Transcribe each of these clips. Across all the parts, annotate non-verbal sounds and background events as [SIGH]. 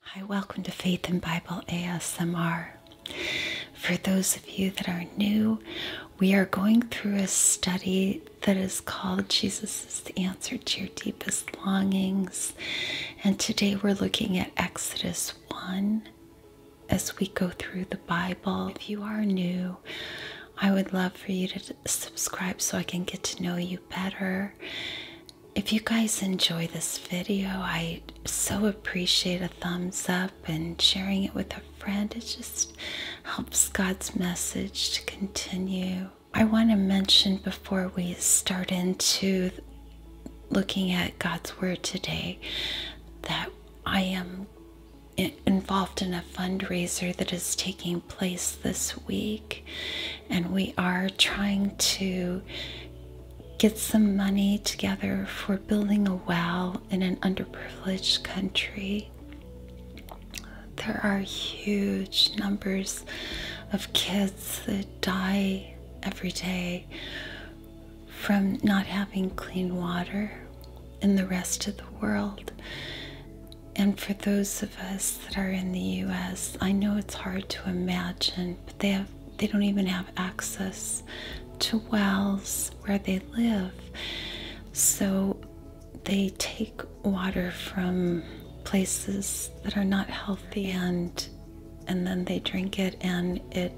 Hi, welcome to Faith in Bible ASMR. For those of you that are new, we are going through a study that is called Jesus is the Answer to Your Deepest Longings. And today we're looking at Exodus 1 as we go through the Bible. If you are new, I would love for you to subscribe so I can get to know you better if you guys enjoy this video, I so appreciate a thumbs up and sharing it with a friend. It just helps God's message to continue. I want to mention before we start into looking at God's Word today that I am involved in a fundraiser that is taking place this week and we are trying to get some money together for building a well in an underprivileged country. There are huge numbers of kids that die every day from not having clean water in the rest of the world. And for those us that are in the US, I know it's hard to imagine, but they have they don't even have access to wells where they live. So they take water from places that are not healthy and and then they drink it and it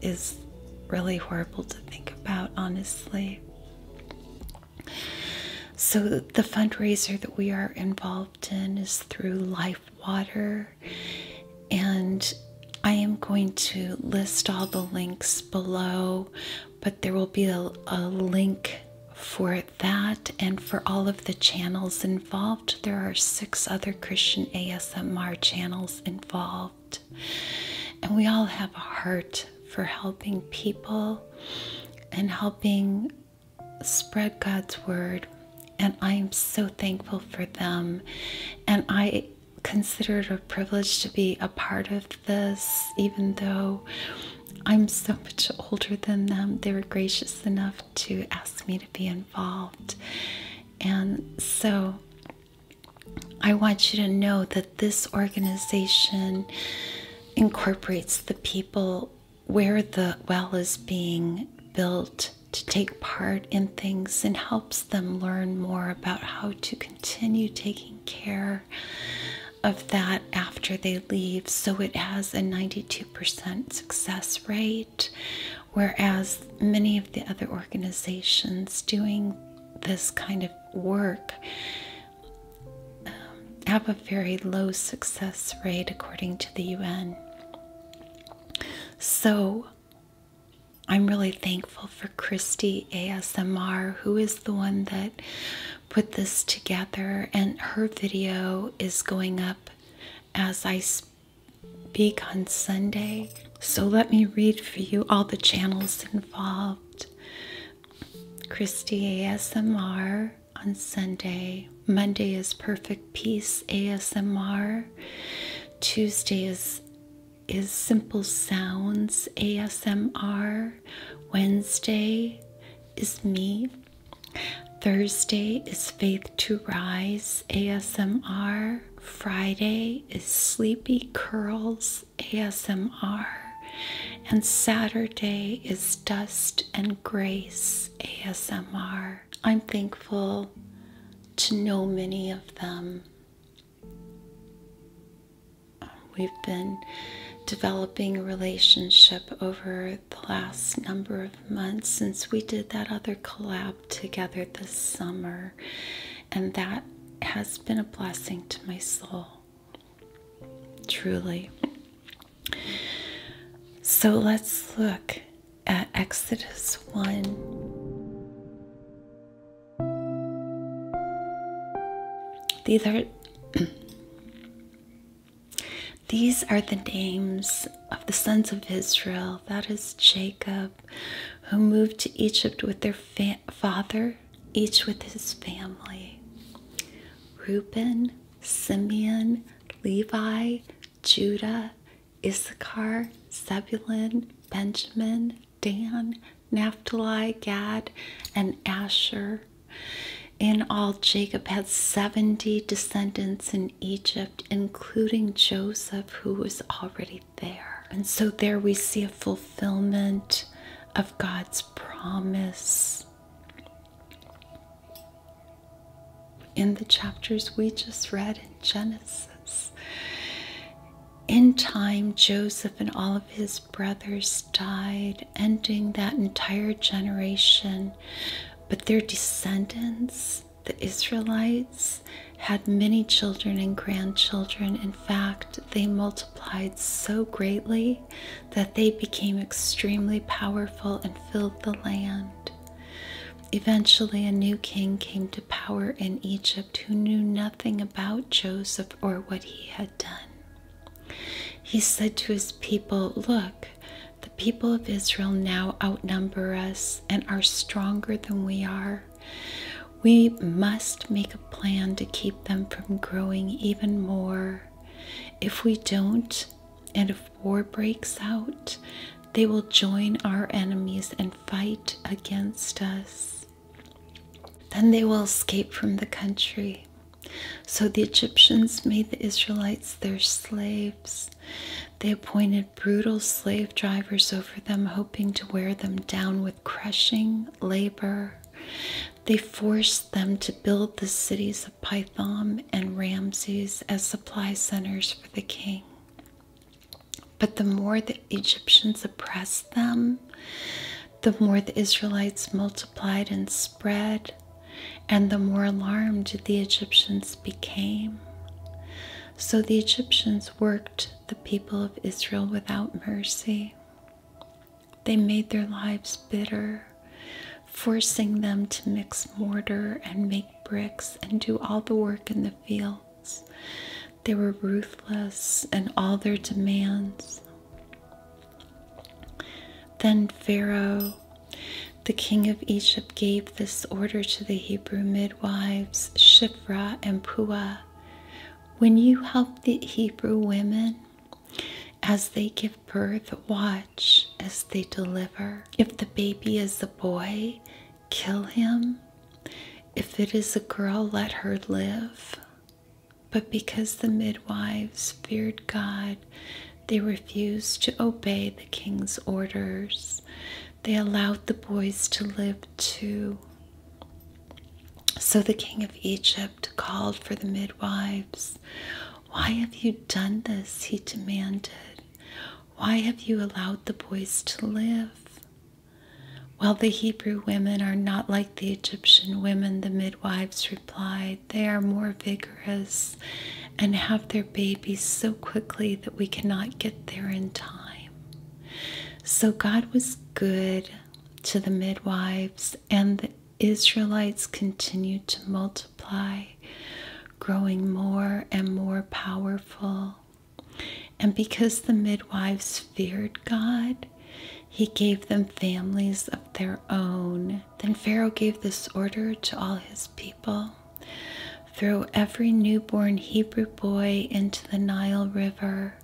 is really horrible to think about honestly so, the fundraiser that we are involved in is through Life Water, and I am going to list all the links below, but there will be a, link for that and for all of the channels involved. There are six other Christian ASMR channels involved, and we all have a heart for helping people and helping spread God's word, and I am so thankful for them. And I consider it a privilege to be a part of this, even though I'm so much older than them. They were gracious enough to ask me to be involved. And so I want you to know that this organization incorporates the people where the well is being built to take part in things and helps them learn more about how to continue taking care of that after they leave. So it has a 92% success rate, whereas many of the other organizations doing this kind of work have a very low success rate according to the UN. So I'm really thankful for Christy ASMR, who is the one that put this together, and her video is going up as I speak on Sunday. So let me read for you all the channels involved. Christy ASMR on Sunday. Monday is Perfect Peace ASMR. Tuesday is is Simple Sounds ASMR. Wednesday is me. Thursday is Faith to Rise ASMR. Friday is Sleepy Curls ASMR, and Saturday is Dust and Grace ASMR. I'm thankful to know many of them. We've been developing a relationship over the last number of months since we did that other collab together this summer, and that has been a blessing to my soul. Truly. So let's look at Exodus 1. These are [CLEARS THROAT] These are the names of the sons of Israel, that is Jacob, who moved to Egypt with their father each with his family Reuben, Simeon, Levi, Judah, Issachar, Zebulun, Benjamin, Dan, Naphtali, Gad, and Asher. In all, Jacob had 70 descendants in Egypt, including Joseph, who was already there. And so there we see a fulfillment of God's promise. In the chapters we just read in Genesis, in time, Joseph and all of his brothers died, ending that entire generation. But their descendants, the Israelites, had many children and grandchildren. In fact, they multiplied so greatly that they became extremely powerful and filled the land. Eventually, a new king came to power in Egypt who knew nothing about Joseph or what he had done. He said to his people, Look, the people of Israel now outnumber us and are stronger than we are. We must make a plan to keep them from growing even more. If we don't, and if war breaks out, they will join our enemies and fight against us. Then they will escape from the country. So the Egyptians made the Israelites their slaves. They appointed brutal slave drivers over them, hoping to wear them down with crushing labor. They forced them to build the cities of Python and Ramses as supply centers for the king. But the more the Egyptians oppressed them, the more the Israelites multiplied and spread, and the more alarmed the Egyptians became. So the Egyptians worked the people of Israel without mercy. They made their lives bitter, forcing them to mix mortar and make bricks and do all the work in the fields. They were ruthless in all their demands. Then Pharaoh, the king of Egypt, gave this order to the Hebrew midwives, Shiphrah and Puah when you help the Hebrew women as they give birth, watch as they deliver. If the baby is a boy, kill him. If it is a girl, let her live. But because the midwives feared God, they refused to obey the king's orders. They allowed the boys to live too. So the king of Egypt called for the midwives. Why have you done this? He demanded. Why have you allowed the boys to live? Well, the Hebrew women are not like the Egyptian women, the midwives replied. They are more vigorous and have their babies so quickly that we cannot get there in time. So God was good to the midwives, and the Israelites continued to multiply, growing more and more powerful. And because the midwives feared God, he gave them families of their own. Then Pharaoh gave this order to all his people Throw every newborn Hebrew boy into the Nile River,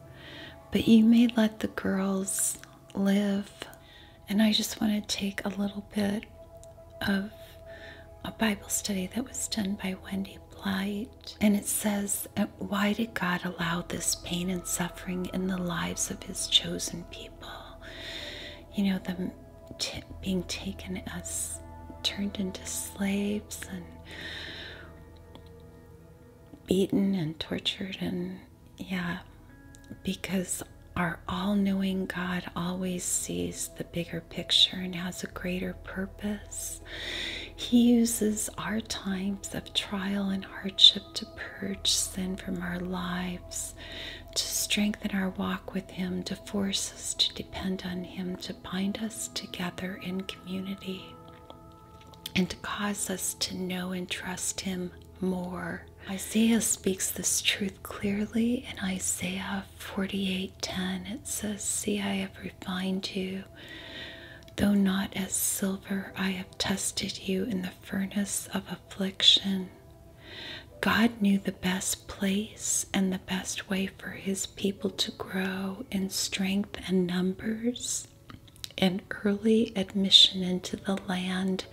but you may let the girls live. And I just want to take a little bit of a Bible study that was done by Wendy Blight. And it says, Why did God allow this pain and suffering in the lives of His chosen people? You know, the being taken as turned into slaves and beaten and tortured and yeah because our all-knowing god always sees the bigger picture and has a greater purpose he uses our times of trial and hardship to purge sin from our lives to strengthen our walk with him to force forces to depend on Him to bind us together in community and to cause us to know and trust Him more. Isaiah speaks this truth clearly in Isaiah 48:10. It says, "See, I have refined you, though not as silver, I have tested you in the furnace of affliction." God knew the best place and the best way for his people to grow in strength and numbers, and early admission into the land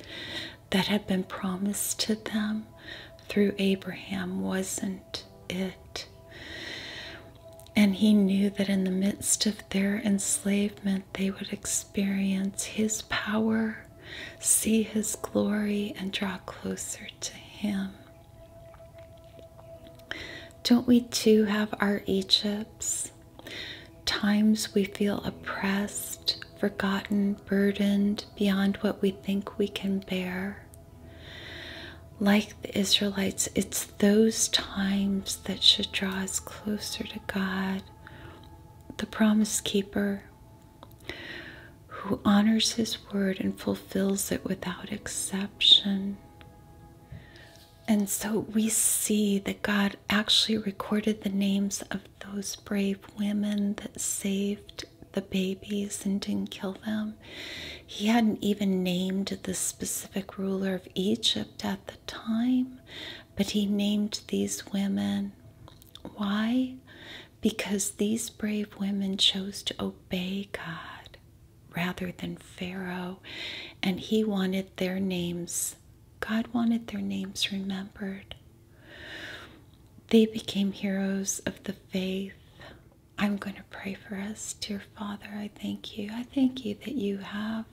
that had been promised to them through Abraham wasn't it. And he knew that in the midst of their enslavement, they would experience his power, see his glory, and draw closer to him. Don't we too have our Egypts? Times we feel oppressed, forgotten, burdened beyond what we think we can bear. Like the Israelites, it's those times that should draw us closer to God, the promise keeper, who honors his word and fulfills it without exception. And so we see that God actually recorded the names of those brave women that saved the babies and didn't kill them. He hadn't even named the specific ruler of Egypt at the time, but he named these women. Why? because these brave women chose to obey God rather than Pharaoh, and he wanted their names, God wanted their names remembered. They became heroes of the faith. I'm going to pray for us, dear Father. I thank you. I thank you that you have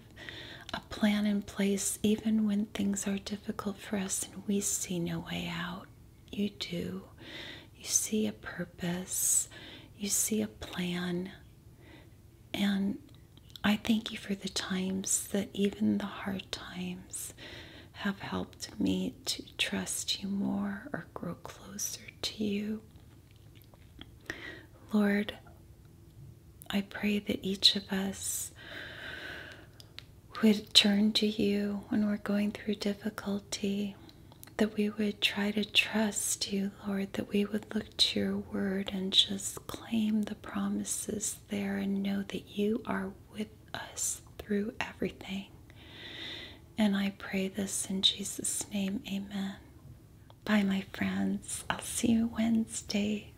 a plan in place even when things are difficult for us and we see no way out you do. You see a purpose, you see a plan. And I thank you for the times that even the hard times have helped me to trust you more or grow closer to you. Lord, I pray that each of us would turn to you when we're going through difficulty, that we would try to trust you, Lord, that we would look to your word and just claim the promises there and know that you are with us through everything. And I pray this in Jesus' name, amen. Bye, my friends. I'll see you Wednesday.